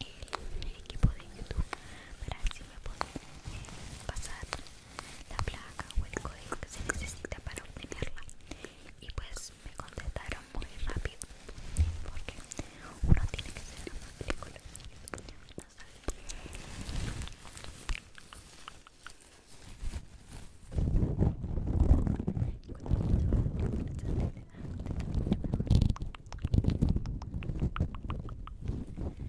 el equipo de YouTube para si me podía eh, pasar la placa o el código que se necesita para obtenerla y pues me contestaron muy rápido porque uno tiene que ser un película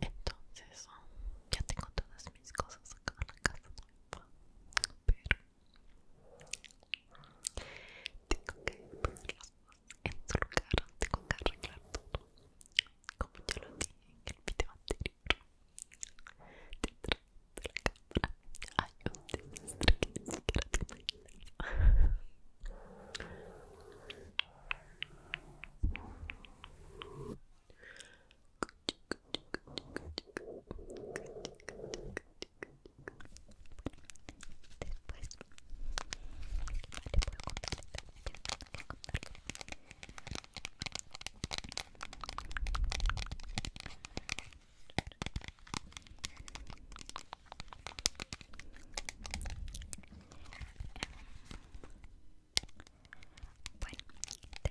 Entonces, ya tengo todas mis cosas acá en la casa nueva, pero tengo que ponerlas en su lugar, tengo que arreglar todo como ya lo dije en el video anterior detrás de la cámara hay un desastre que ni siquiera te imaginas Después, ¿qué puedo contar? ¿Qué puedo bueno, la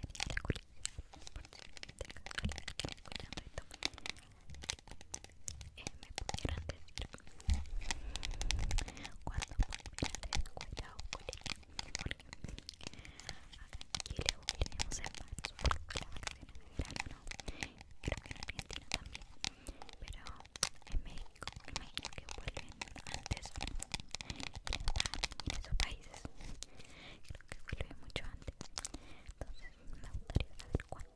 curiosidad por si escuchando esto eh, me pudieran decir cuando volvieran de escuela o colegio porque aquí le volvimos en marzo porque las vacaciones de verano no creo que en Argentina también pero en México me imagino que vuelven antes en esos países creo que vuelven mucho antes entonces me gustaría saber cuándo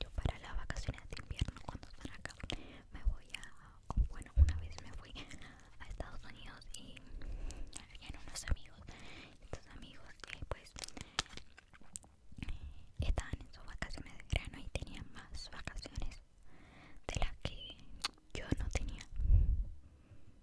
Yo para las vacaciones de invierno cuando están acá me voy a, oh, bueno una vez me fui a Estados Unidos y habían unos amigos, estos amigos que pues estaban en sus vacaciones de verano y tenían más vacaciones de las que yo no tenía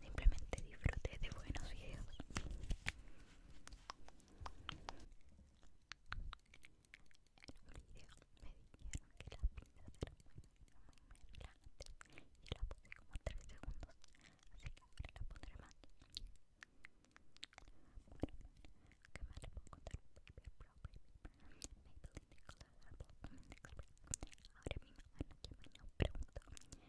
simplemente disfruté de buenos videos en un video me dijeron que las pinzas eran muy, muy, muy relajantes y yo la puse como 3 segundos así que ahora la pondré más bueno, ¿qué más le puedo contar? Paper Pro, Paper Maybelline de color purple, Ahora mismo mamá en la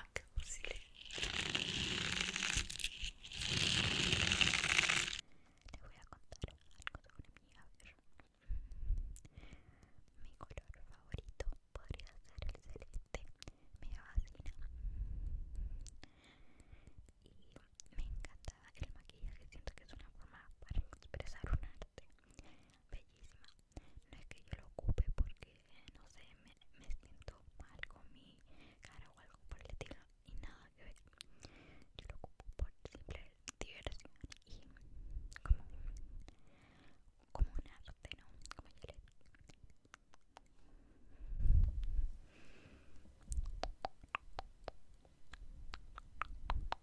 A que si le... Te voy a contar algo sobre mi haber. Mi color favorito podría ser el celeste. Me fascina. Y me encanta el maquillaje. Siento que es una forma para expresar un arte bellísima no es que yo lo ocupe porque no sé me, siento mal con mi cara o algo por el estilo y nada que ver yo lo ocupo por simple diversión y como como un arte no como yo le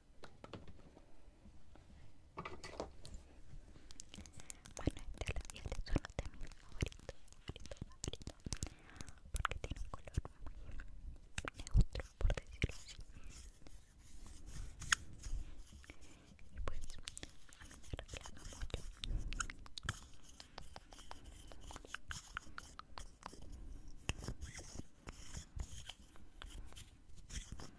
Bueno, este es el uno de mis favoritos, favorito favorito, Porque tiene un color muy neutro, por decirlo así Y pues, a mí me relaja mucho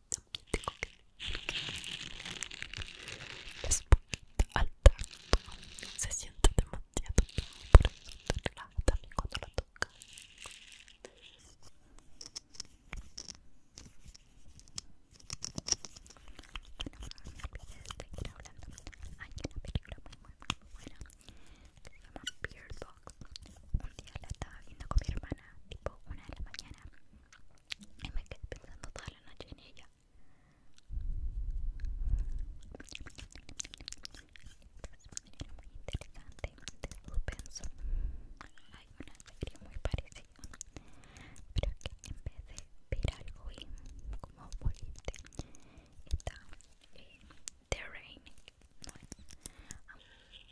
también tengo que es poquito al tanto se siente demasiado bien por eso te relaja también cuando la tocas hay una película muy muy muy buena que se llama Beardbox un día la estaba viendo con mi hermana tipo una de la mañana, y me quedé pensando toda la noche en ella. Es una muy interesante de suspenso. Hay una serie muy parecida, pero que en vez de ver algo y como volviste, está eh, The No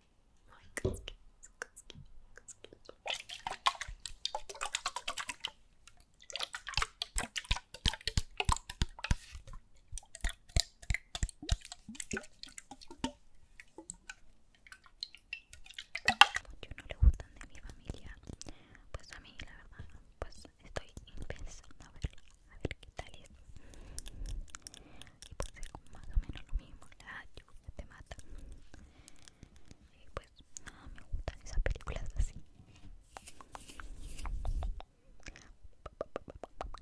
Mucho no le gustan de mi familia, pues a mí la verdad, pues estoy pensando a ver, a ver qué tal es. Y pues es más o menos lo mismo, la te mata. Y pues nada, me gustan esas películas así. Mándala, mándala, mándala.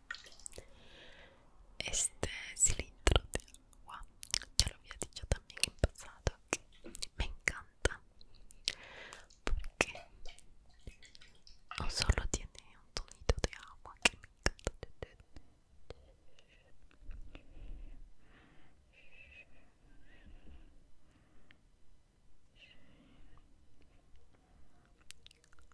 este cilindro de agua ya lo había dicho también en pasado que me encanta porque no solo tiene un tonito de agua que me encanta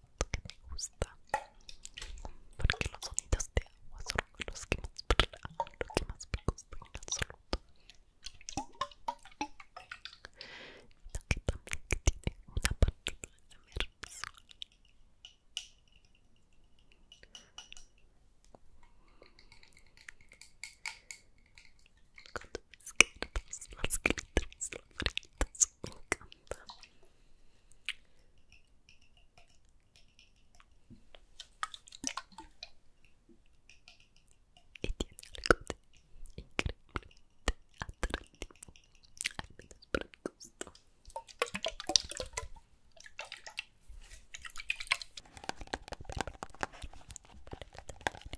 que me gusta porque los sonidos de agua son los que más los que más me gustan en absoluto lo que también tiene una parte de ver cuando ves que los las gritas, los me encanta. Y tiene algo de increíblemente atractivo, al menos para el gusto.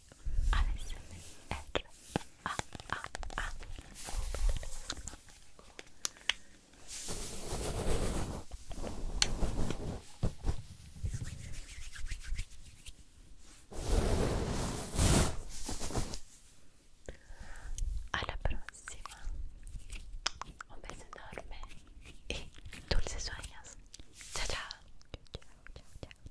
A ah, ah, ah. Alla un beso enorme y dulces sueños. Chao, ciao. Chao, chao, chao,